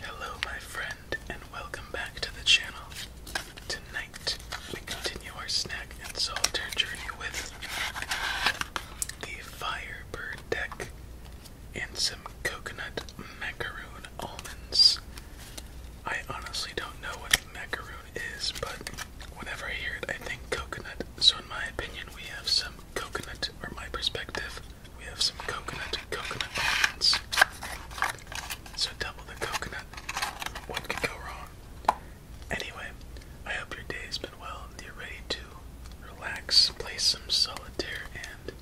Hello, my friend, and welcome back to the channel. Tonight, we continue our snack and solitaire journey with the Firebird deck and some coconut macaroon almonds. I honestly don't know what macaroon is, but whenever I hear it, I think coconut. So, in my opinion, we have some coconut, or my perspective, we have some coconut coconut almonds. So double the coconut. What could go wrong? Anyway, I hope your day's been well and you're ready to relax, play some solitaire, and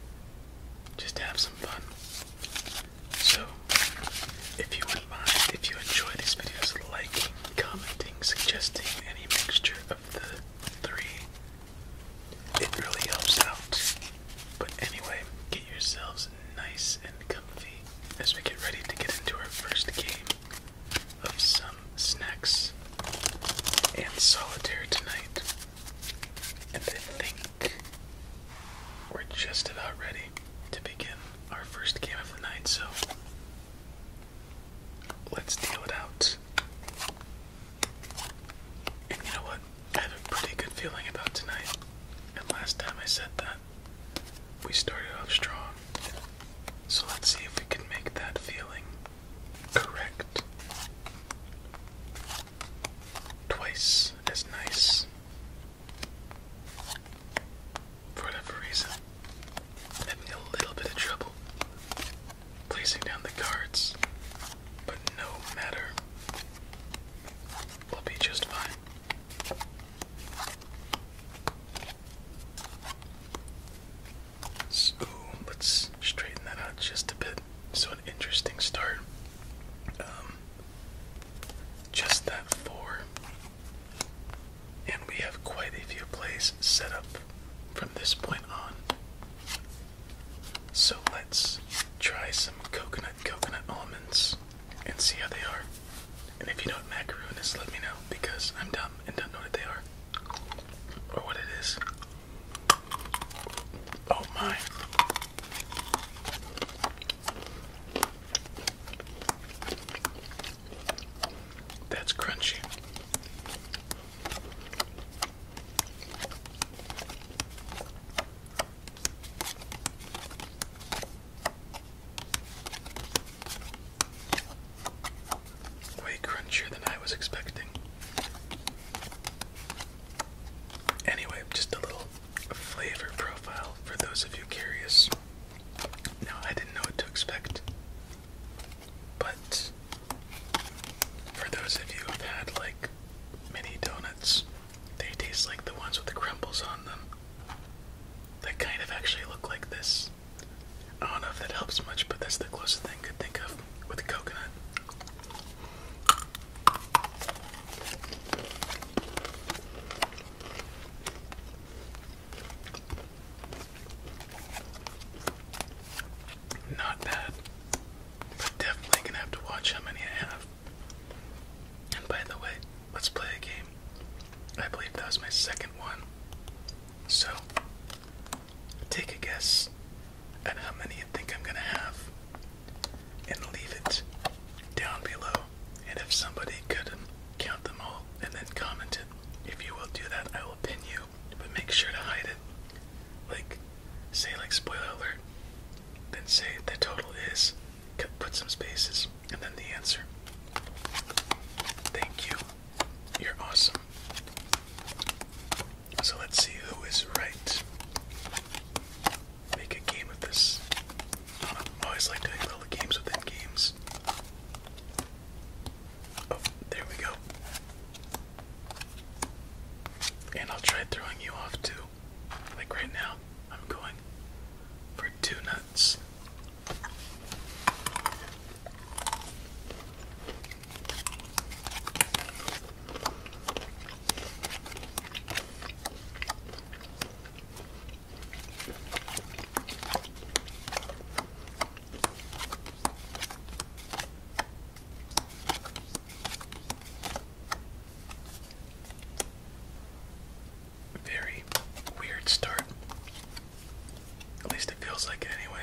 just have some fun. So, if you would mind, if you enjoy these videos, liking, commenting, suggesting any mixture of the three it really helps out. But anyway, get yourselves nice and comfy as we get ready to get into our first game of some snacks and solitaire tonight. And I think we're just about ready to begin our first game of the night, so let's deal it out you know what? I have a pretty good feeling about tonight. And last time I said that, we started off strong. So let's see if we can make that feeling correct. Twice as nice. For whatever reason, having a little bit of trouble placing down the cards, but no matter. We'll be just fine. So, let's straighten that out just a bit. So, an interesting start. Um, just that four. And we have quite a few plays set up from this point on. So let's try some coconut coconut almonds and see how they are. And if you know what macaroon is, let me know because I'm dumb and don't know what they are or what it is. Oh my. That's crunchy. Way crunchier than I was expecting. Anyway, just a little flavor profile for those of you curious. Now, I didn't know what to expect. But for those of you who've had like mini donuts, they taste like the ones with the crumbles on them. They kind of actually look like this. I don't know if that helps much, but that's the closest thing I could think of with coconut. Not bad. But definitely gonna have to watch how many I have. And by the way, let's play a game. I believe that was my second one. So, take a guess at how many you think I'm gonna have and leave it down below. And if somebody could count them all and then comment it, if you will do that, I will pin you but make sure to hide it. Like, say like spoiler alert, then say the total is, put some spaces, and then the answer. Thank you. You're awesome. So let's see who is right. Make a game of this. always like doing little games within games. Oh, there we go. And I'll try throwing you off too. Like right now, I'm going for two nuts. Very weird start. At least it feels like it anyway.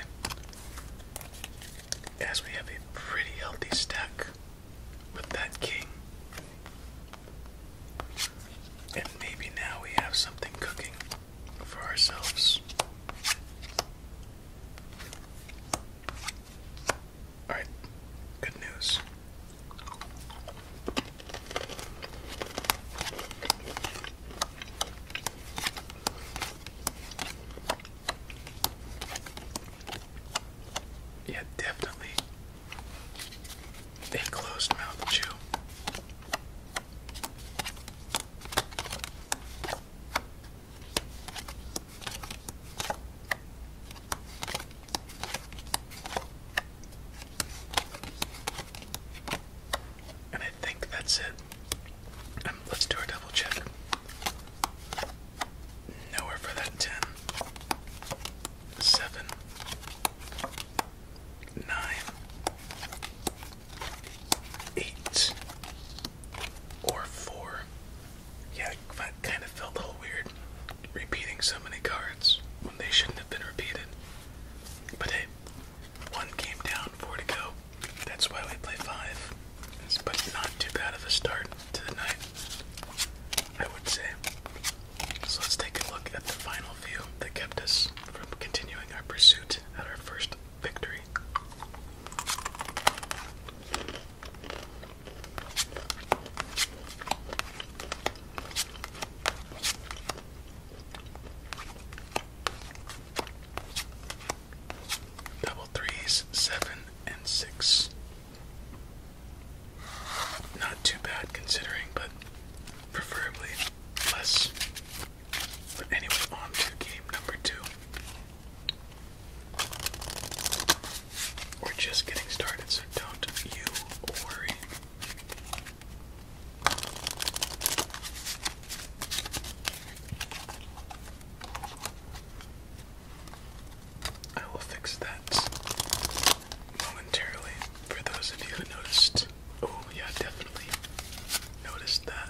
As we have a pretty healthy stack with that king. And maybe now we have something cooking for ourselves. Alright, good news. Yeah, definitely They closed mouthed you. And I think that's it. Um, let's do a double check. Nowhere for that 10 or four. Yeah, I kind of felt a little weird repeating so many cards when they shouldn't have been repeated. But one game down, four to go. That's why we play five. But not too bad of a start to the night, I would say. So let's take a look at the final few that kept us from continuing our pursuit at our first victory. Double threes, seven and six. Not too bad considering, but preferably less. But anyway, on to game number two. We're just getting started, so don't you worry. I will fix that momentarily for those of you who noticed. Oh, yeah, definitely noticed that.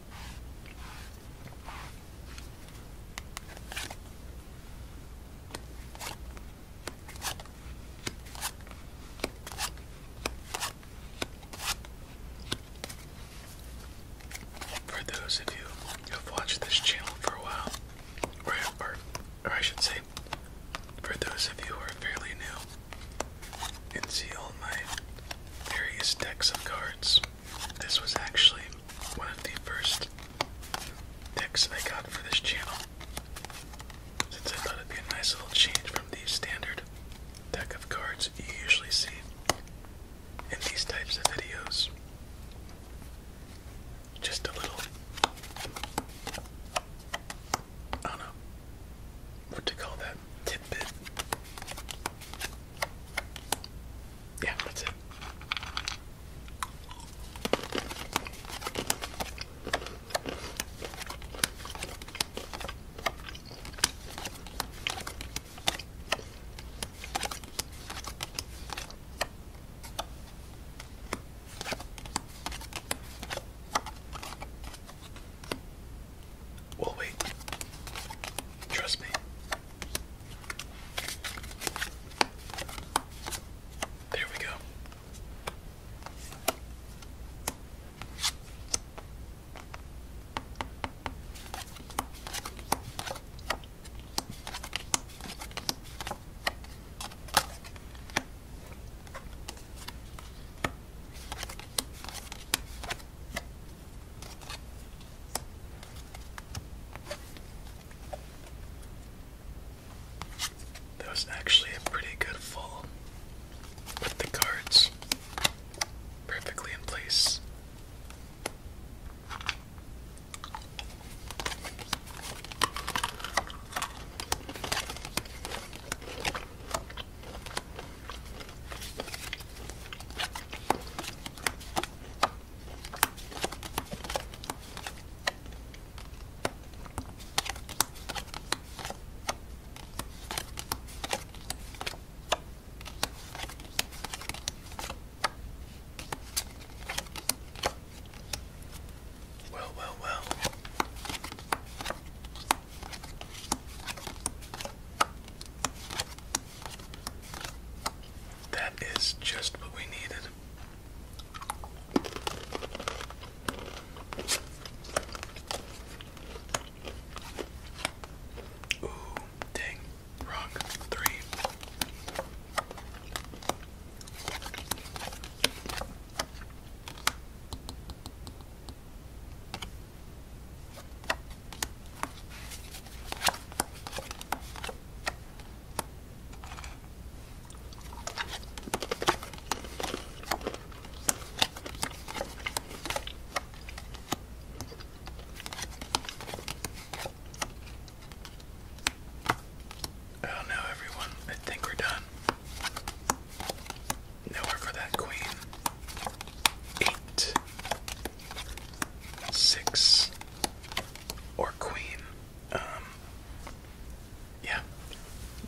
For those of you who've watched this channel for a while, or, or, or I should say, for those of you who are fairly new, and see all my various decks of cards. This was actually one of the first decks I got for this channel, since I thought it'd be a nice little change from the standard deck of cards you usually see in these types of videos. Just a little, I don't know, what to call that tidbit. Yeah, that's it. We'll wait. Trust me. There we go. That was actually a pretty good fall with the cards perfectly in place. Well, well, well. That is just what we needed. Ooh, dang, wrong three. Oh no, everyone, I think we're done. Nowhere for that queen. Eight, six, or queen. Um, yeah,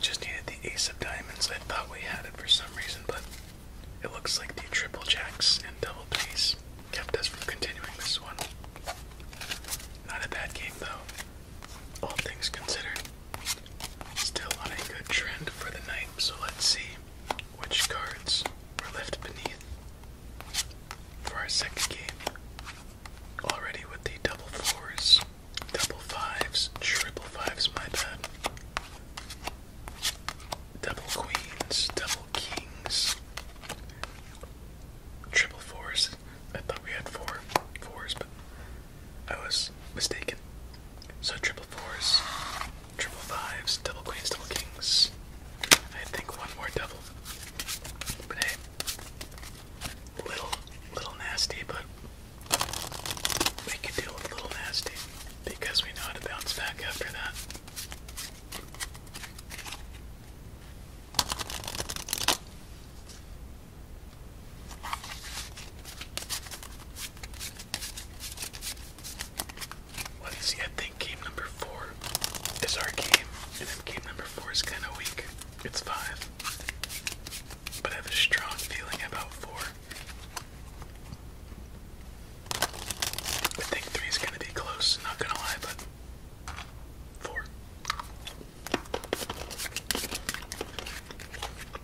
just needed the ace of diamonds. I thought we had it for some reason, but it looks like the triple jacks and double threes kept us from continuing this one. Not a bad game, though, all things considered. Still on a good trend for the night, so let's see which cards were left beneath for our second game. Already with the double fours, double fives, triple fives, my bad. Double queens, double kings, triple fours. I thought we had four fours, but I was mistaken. So triple fours, Triple fives, double queens, double kings. I think one more double. But hey, little, little nasty, but we can deal with little nasty because we know how to bounce back after that. Let's see, I think game number four is our game, and then game number four is kind of weak. It's five. But I have a strong feeling about four. I think three is going to be close, not going to lie, but four.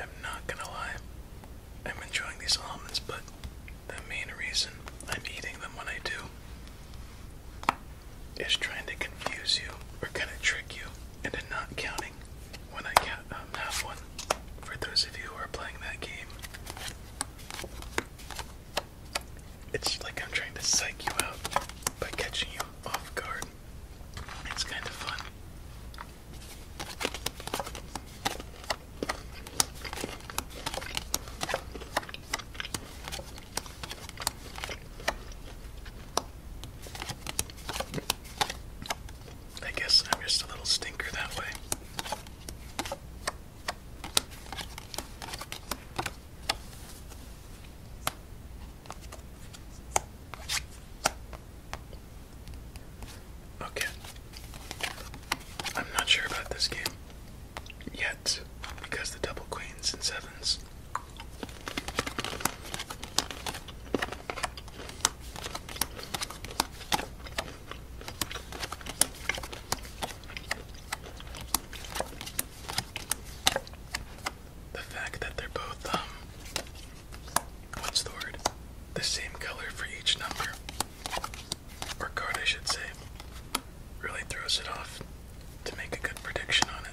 I'm not gonna lie, I'm enjoying these almonds, but the main reason I'm eating them when I do is trying to confuse you or kind of trick you into not counting when I count, um, have one. For those of you who are playing that game, it's like I'm trying to psych you out by catching you off guard. It's kind of fun. I guess I'm just a little stinker that way. Okay. I'm not sure about this game yet because the double queens and sevens the fact that they're both, um, what's the word? The same color for each number, or card, I should say, really throws it off to make a good prediction on it.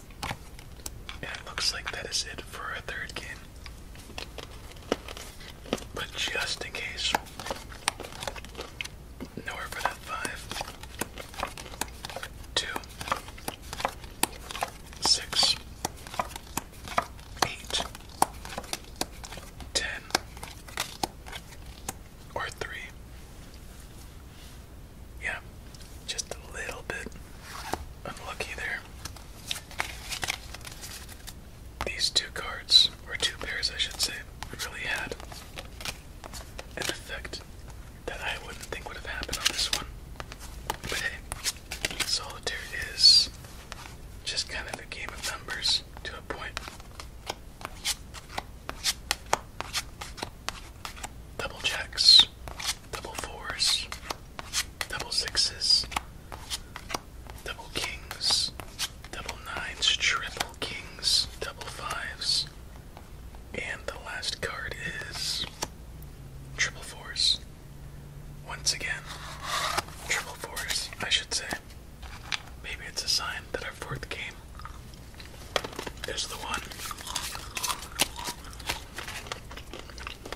And it looks like that is it for a third game. But just in case, nowhere for that five, two, six, eight, ten, or three. Yeah, just a little bit unlucky there. These two cards, or two pairs I should say, really had an effect that I wouldn't think would have happened on this one. But hey, solitaire is just kind of a game of numbers to a point. Double checks double fours, double sixes, double kings, double nines, triple kings, double fives, and the last card is triple fours. Once again, triple fours, I should say. Maybe it's a sign that our fourth game is the one.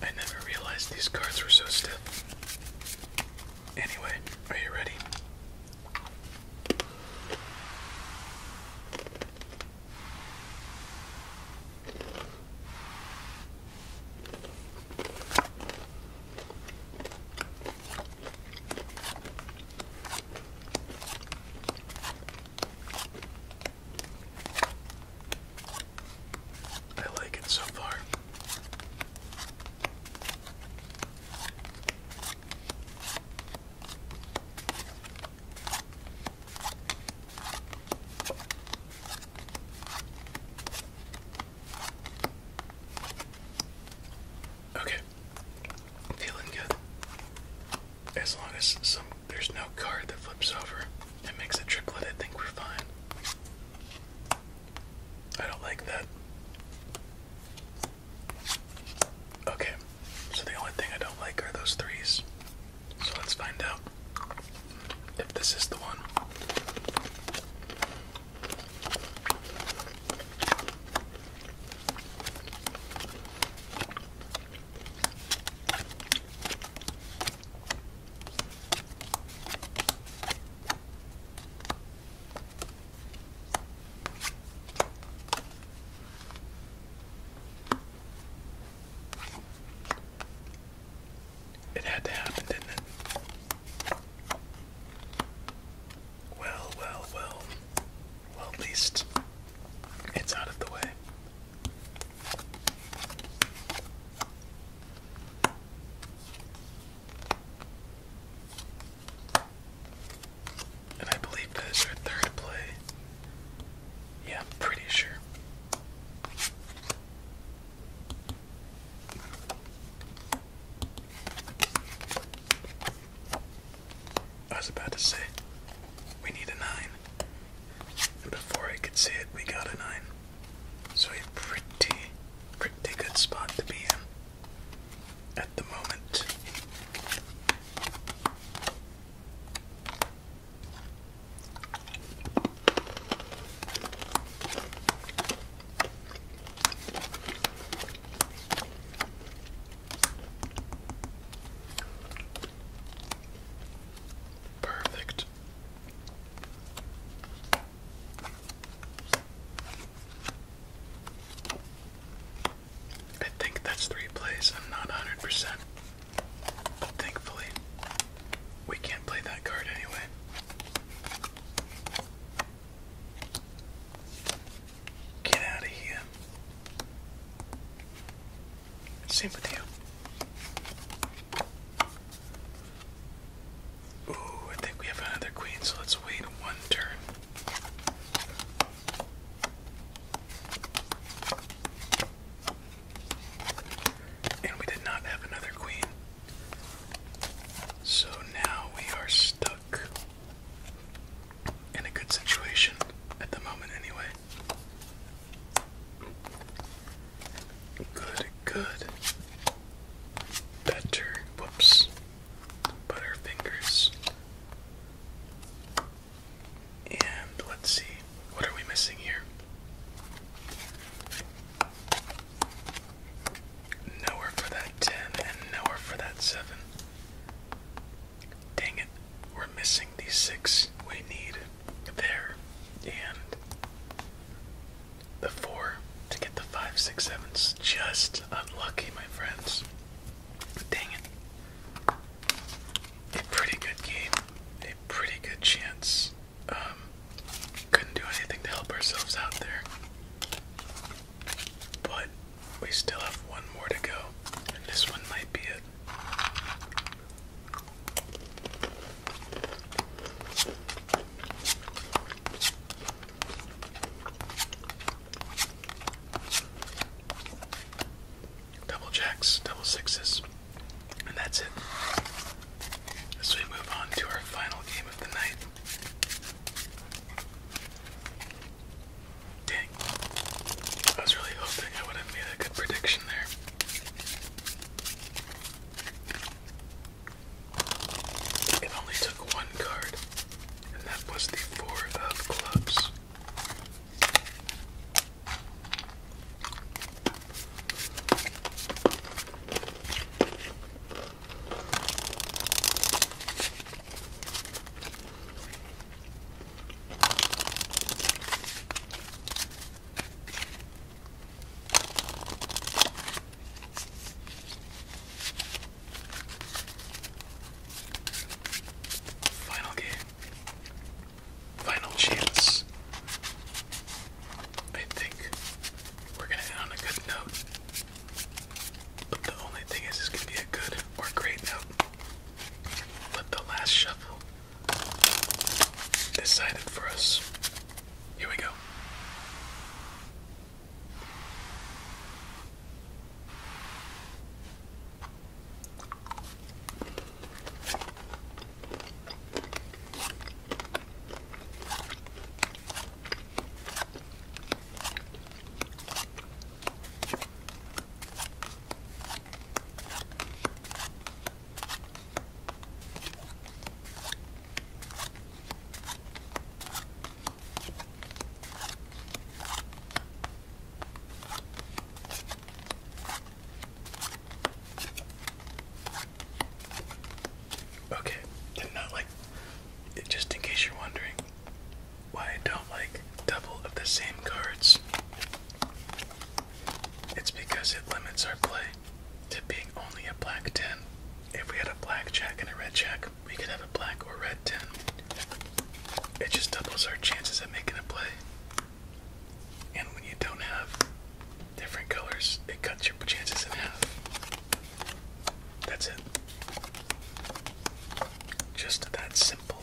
I never realized these cards were so stiff. Anyway, are you ready? I like it so far. Okay, feeling good. As long as there's no card that flips over and makes a triplet, I think we're fine. I don't like that. Okay, so the only thing I don't like are those threes. So let's find out if this is the one. It had to happen, didn't it? Well, well, well. Well, at least it's out of the way. And I believe that is our third play. Yeah, pretty sure. I was about to say, we need a 9. And before I could see it, we got a 9. So a pretty, pretty good spot to be in at the moment. Perfect. I think that's three plays. I'm not 100%. But thankfully, we can't play that card anyway. Get out of here. Same Ooh, I think we have another queen, so let's wait one turn. And we did not have another queen. So now we are stuck in a good situation at the moment, anyway. Good, good. Better. Whoops. Butter fingers. And let's see, what are we missing here? Nowhere for that 10 and nowhere for that 7. Dang it, we're missing the six we need there and the four to get the five, six, sevens. Just unlucky, my friends. Dang it. A pretty good game, a pretty good chance. Um, couldn't do anything to help ourselves out there. But we still have one more to go, and this one might be it. Double jacks, double sixes, and that's it. As we move on to our final game of the night. Dang. I was really hoping I would have made a good prediction there. It only took one card, and that was the Four of Clubs. Final game. Final chance. I think we're gonna end on a good note. But the only thing is it's gonna be a good or great note. Let the last shuffle decided for us. Here we go. Okay, did not like just in case you're wondering, why I don't like double of the same cards. It's because it limits our play to being only a black 10. If we had a black jack and a red jack, we could have a black or red 10. It just doubles our chances at making a play. And when you don't have different colors, it cuts your chances in half. That's it. Just that simple.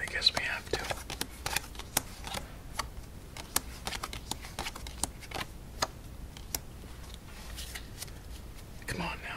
I guess we have to. Come on now.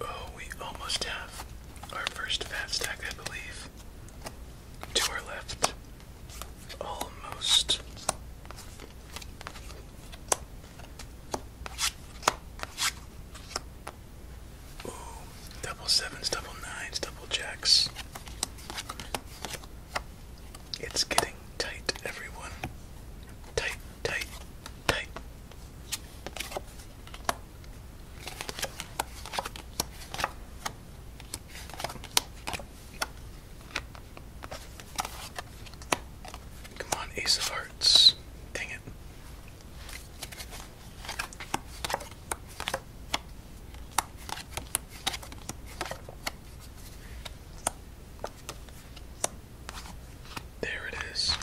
Oh, we almost have our first fat stack, I believe. To our left. Almost. Ooh, double sevens, double nines, double jacks. It's getting tight, everyone. Tight, tight, Come on, Ace of Hearts. Dang it. There it is.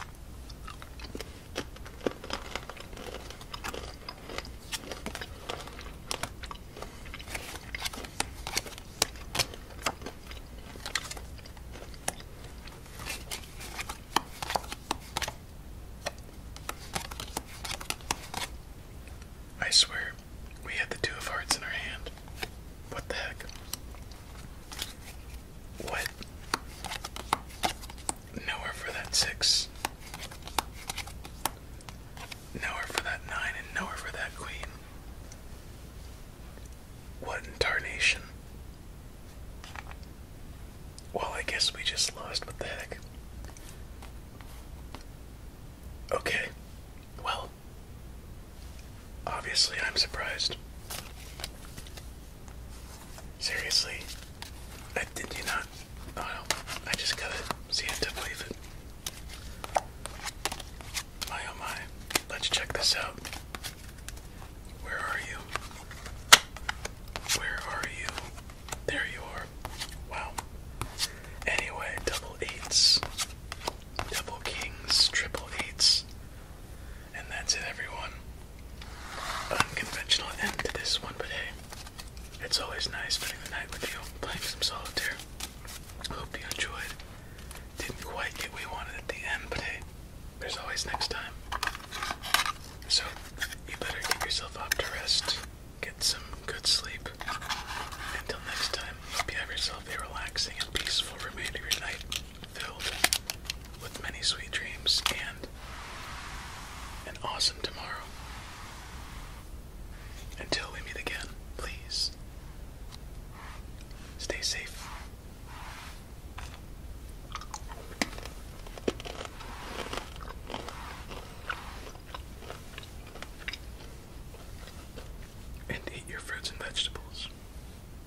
I swear, we had the two of hearts in our hand. What the heck? What? Nowhere for that six. Nowhere for that nine, and nowhere for that queen. What in tarnation? Well, I guess we just lost. What the heck? Okay. Well, obviously, I'm surprised. Seriously? I did you not? Oh no. I just gotta see it to believe it. My oh my. Let's check this out. Where are you? Where are you? There you are. Wow. Anyway, double eights. Double kings, triple eights. And that's it, everyone. Unconventional end to this one, but hey, it's always nice spending the night with you, playing some solitaire. Hope you enjoyed. Didn't quite get what we wanted at the end, but hey, there's always next time. So, you better get yourself up to rest, get some good sleep. Until next time, hope you have yourself a relaxing and peaceful remainder of your night filled with many sweet dreams and an awesome tomorrow. Until we meet again, please stay safe. And eat your fruits and vegetables.